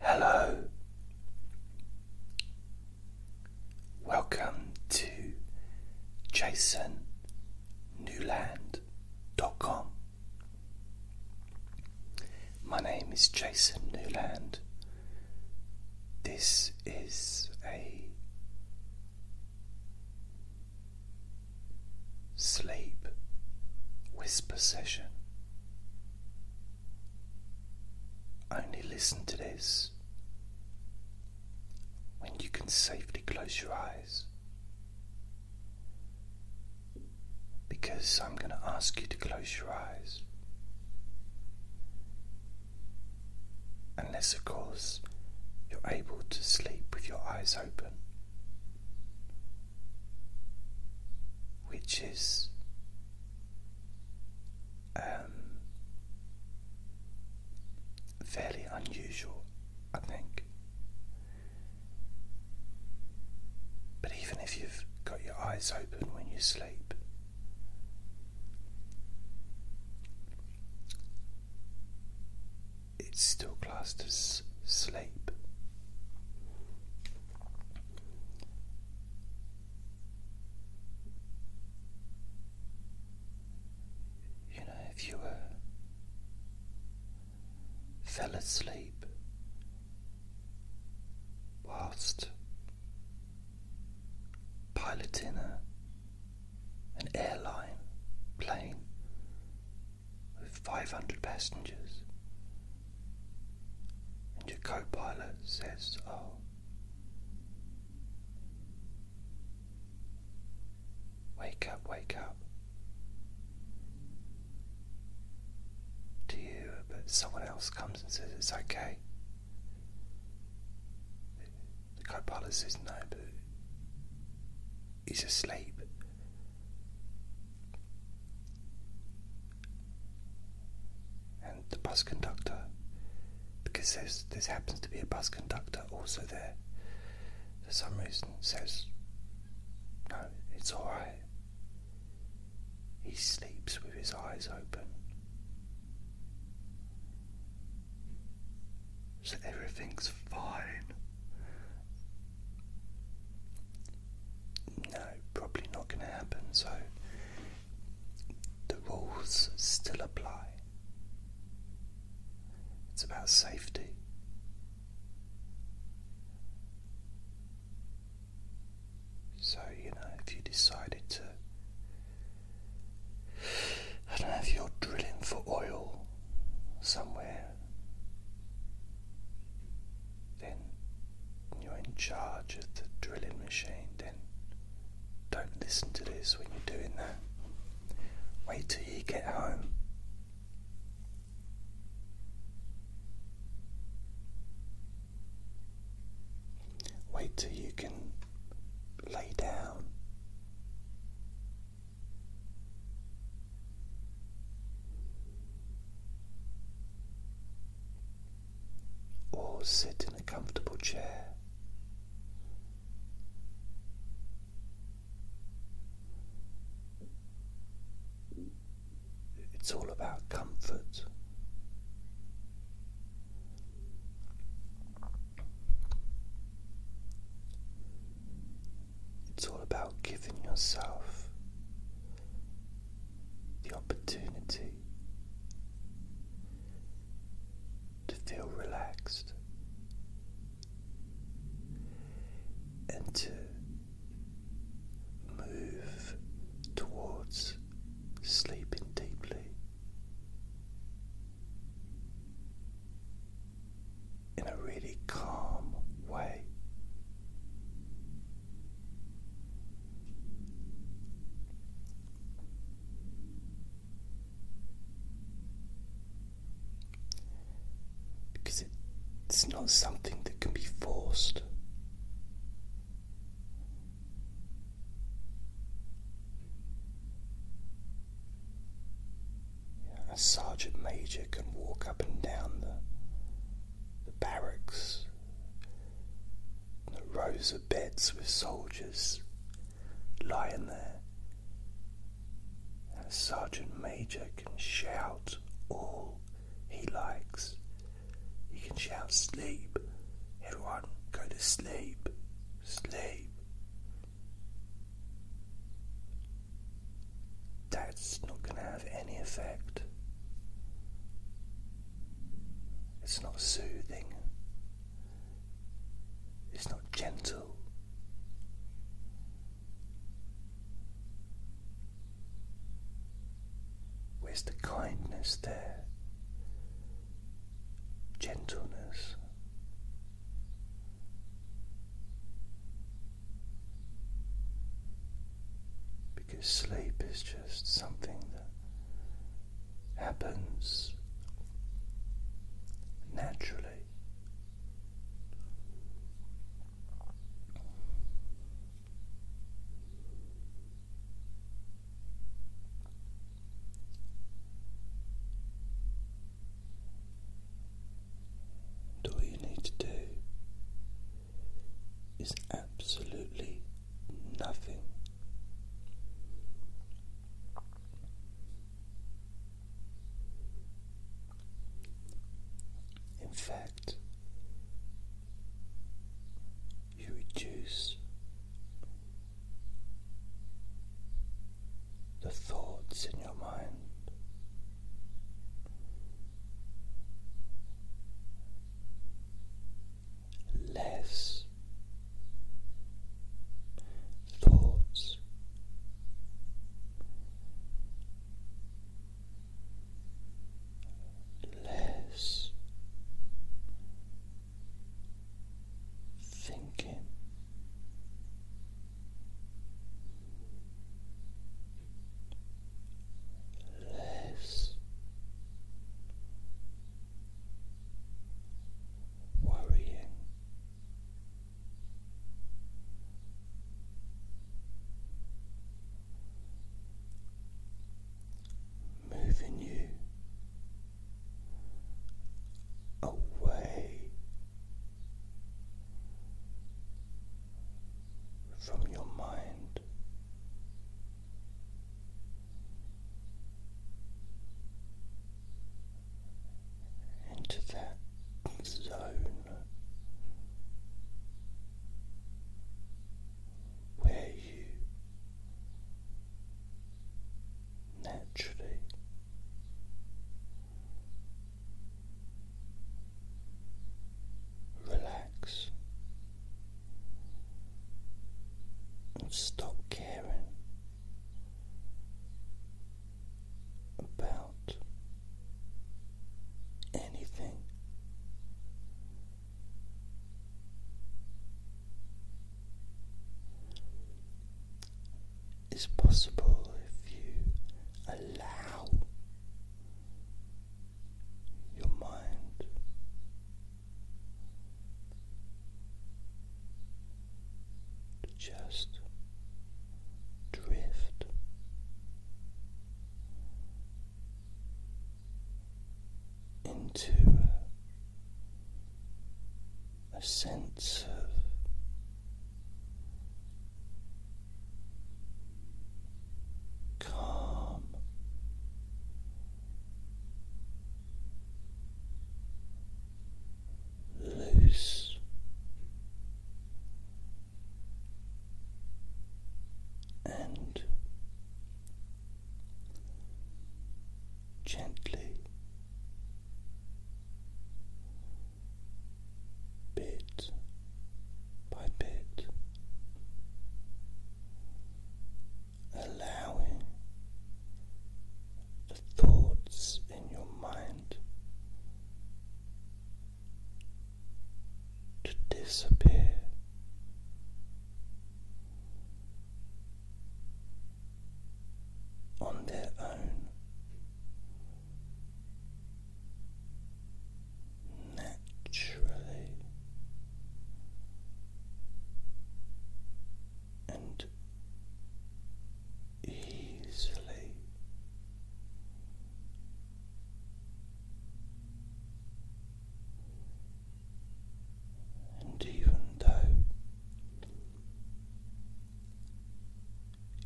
Hello. Welcome to jasonnewland.com. My name is Jason Newland. This is a sleep whisper session. Only listen to this when you can safely close your eyes. Because I'm going to ask you to close your eyes. Unless, of course, you're able to sleep with your eyes open which is um, fairly unusual, I think. But even if you've got your eyes open when you sleep, it's still classed as sleep. You know, if you were fell asleep whilst piloting a, an airline plane with 500 passengers. And your co pilot says, Oh, wake up, wake up. To you, but someone else comes and says, It's okay. The co pilot says, No, but he's asleep and the bus conductor, because this happens to be a bus conductor also there, for some reason says, No, it's alright. He sleeps with his eyes open. So everything's fine. No, probably not going to happen. So the rules still apply. It's about safety. So, you know, if you decided to, I don't know, if you're drilling for oil somewhere then you're in charge of the drilling machine. Then don't listen to this when you're doing that. Wait till you get home. Wait till you can lay down or sit in a comfortable chair. It's all about comfort. It's all about giving yourself the opportunity to feel relaxed and to move towards sleeping deeply in a really calm way. Because it's not something that can be forced a sergeant major can walk up and down the, the barracks, the rows of beds with soldiers lying there. a sergeant major can shout all he likes. He can shout, Sleep, everyone, go to sleep, sleep that's not going to have any effect. It's not soothing. It's not gentle. Where's the kindness there? Gentleness. Because sleep is just something that happens naturally all you need to do is absolutely nothing. In fact, you reduce the thoughts in your mind. Less thoughts. Less thinking, less worrying. Moving you away from your mind. Into that zone where you naturally Relax stop caring about anything is possible if you allow your mind to just drift. Into a sense of calm loose and Gently bit by bit, allowing the thoughts in your mind to disappear. On their own, naturally and easily. And even though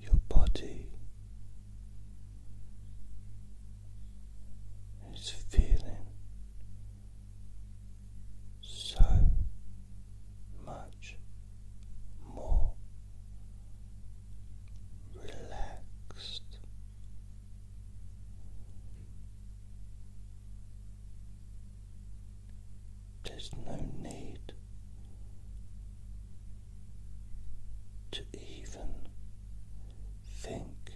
your body is feeling so much more relaxed. There's no need to even think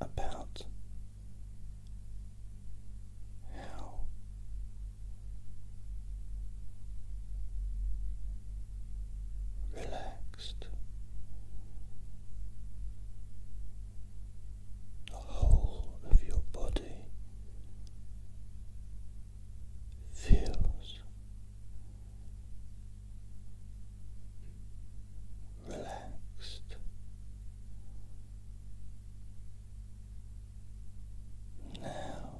about how relaxed the whole of your body feels relaxed. Now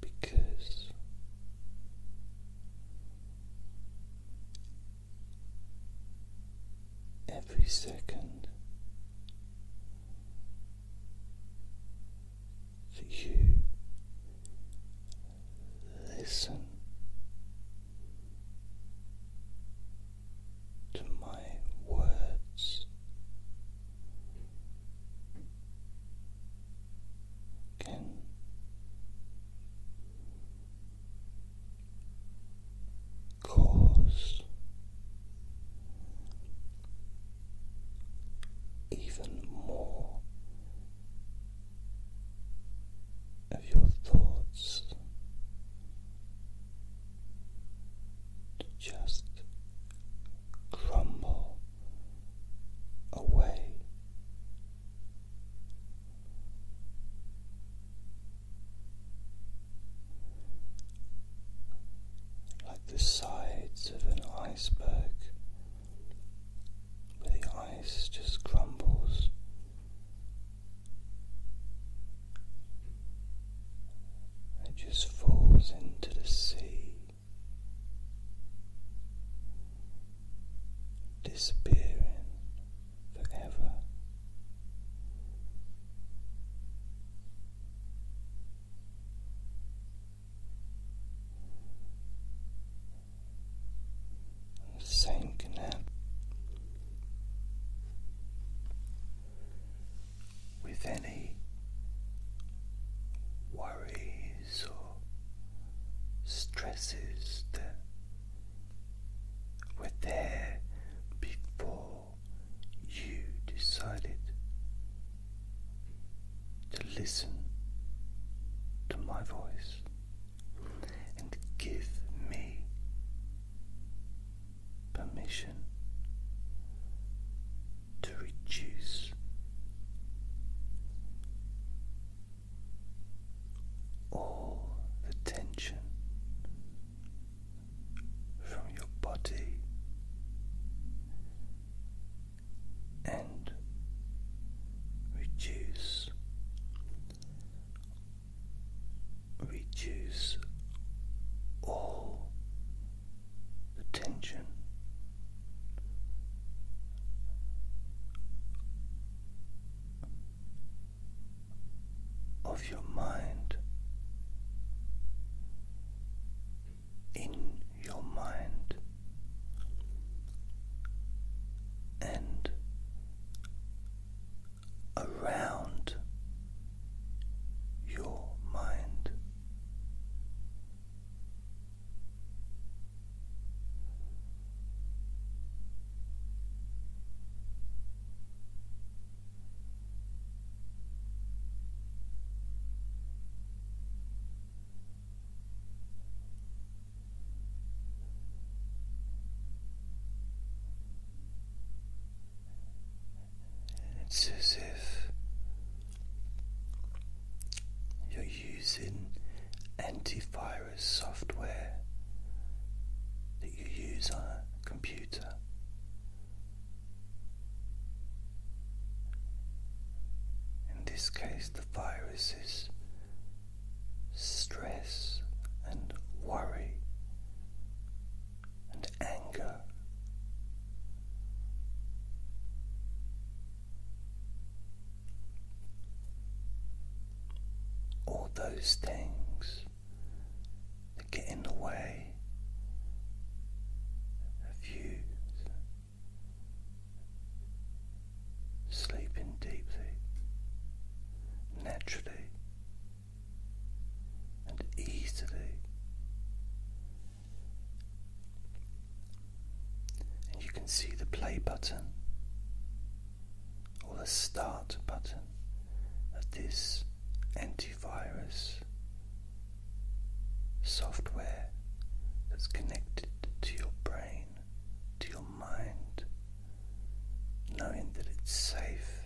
because every second that you listen to my words. Can cause even more of your thoughts to just crumble away. Like the sides of an iceberg, where the ice just crumbles it just falls into the sea, disappearing forever the same canal. With any worries or stresses that were there before you decided to listen to my voice and give me permission to reduce all the tension from your body and reduce reduce all the tension. Of your mind in your mind and around your mind. It's you're using antivirus software that you use on a computer. In this case, the virus is stress and worry and anger. All those things that get in the way of you sleeping deeply, naturally, and easily. And you can see the play button or the start button of this antivirus software that's connected to your brain, to your mind, knowing that it's safe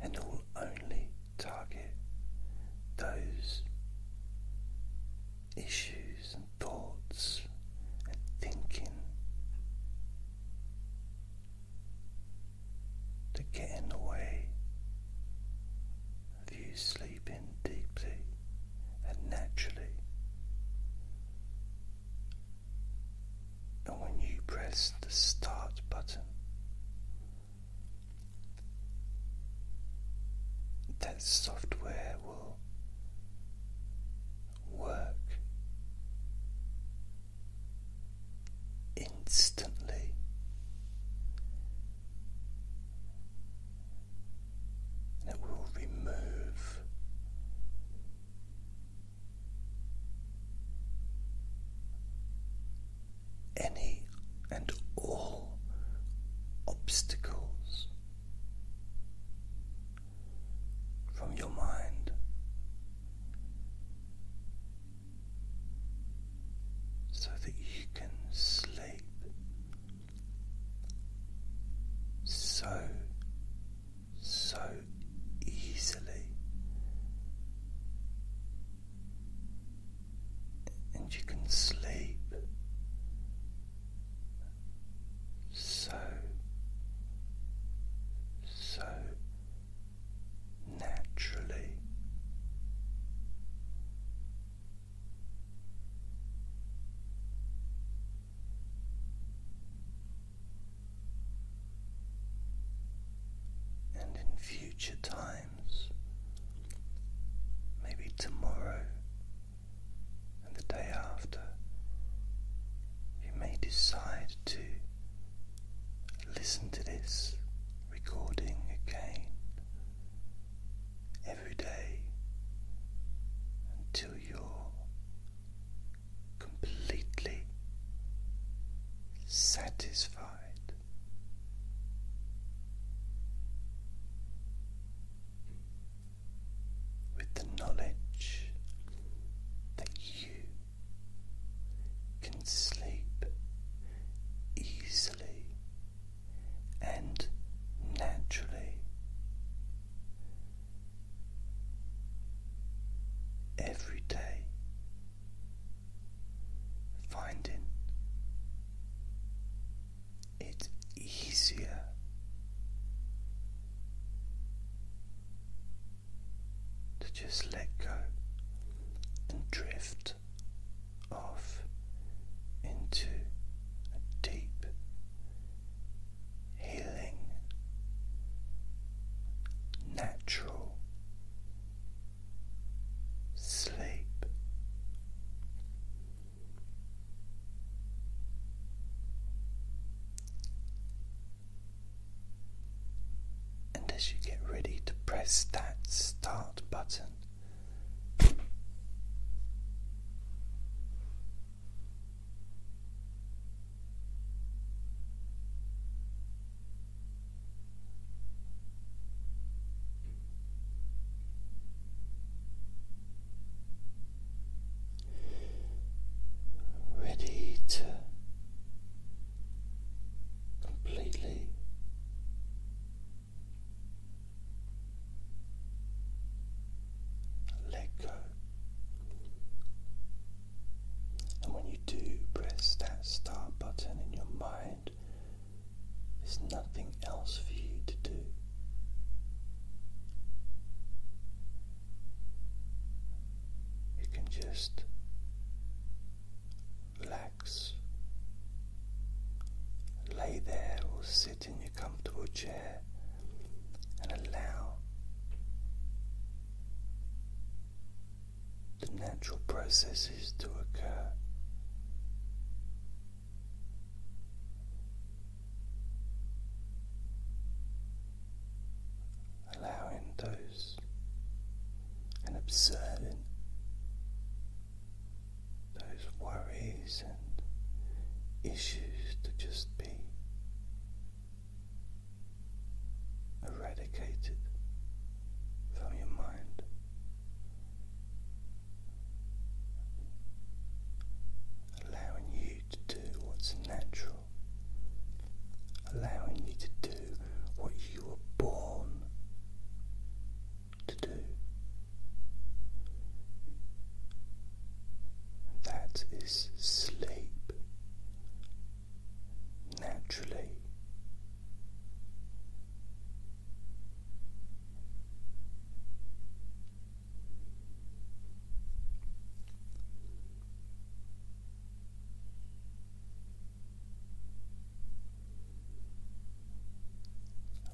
and it will only target those issues and thoughts and thinking to get in the way of you sleeping deeply and naturally and when you press the start button, that software will work instantly. it will remove any and all obstacles from your mind. So that you can sleep so so easily, and you can sleep so, so naturally. And in future times, maybe tomorrow and the day after, you may decide to listen to this recording again every day until you're completely satisfied. With the knowledge that you can sleep easily and naturally every day, finding it easier to just let go and drift off into a deep healing, natural sleep. And as you get ready to press that start button, Ready to completely let go. And when you do press that start button in your mind, there's nothing else for you to do. You can just relax, lay there or sit in your comfortable chair and allow the natural processes to occur. Allowing those and observing those worries and issues to just be eradicated from your mind. Allowing you to do what's natural, allowing you to do what you were born to do. That is sleep naturally.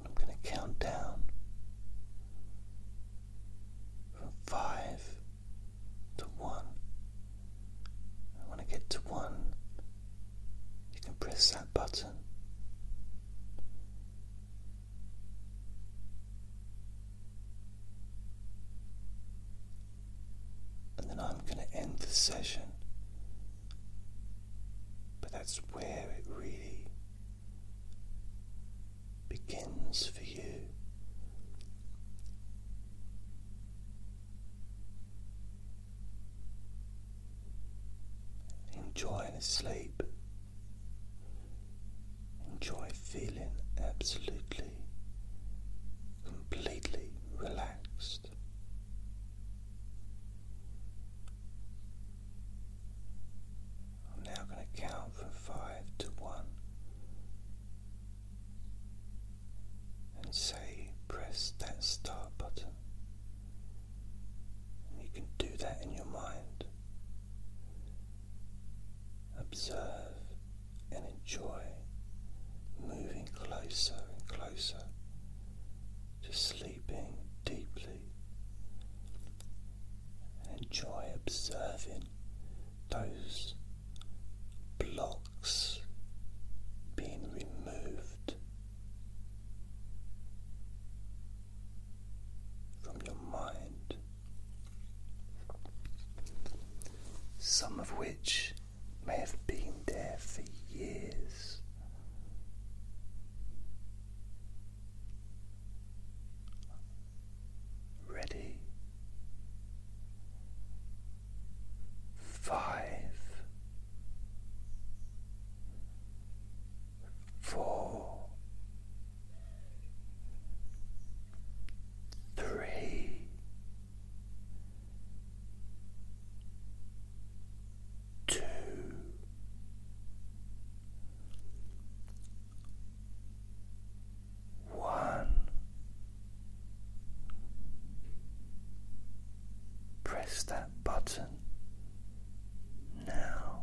I'm going to count down from five to one. And when I get to one, you can press that button. And then I'm going to end the session. But that's where it really begins for you. Enjoying sleep, enjoy feeling absolutely, completely relaxed. I'm now going to count from five to one and say press that start button. you can do that in your mind. Observe and enjoy moving closer and closer to sleeping deeply. Enjoy observing those blocks being removed from your mind, some of which may have been there for years ready. Five, four, three, two, one. Press that button now.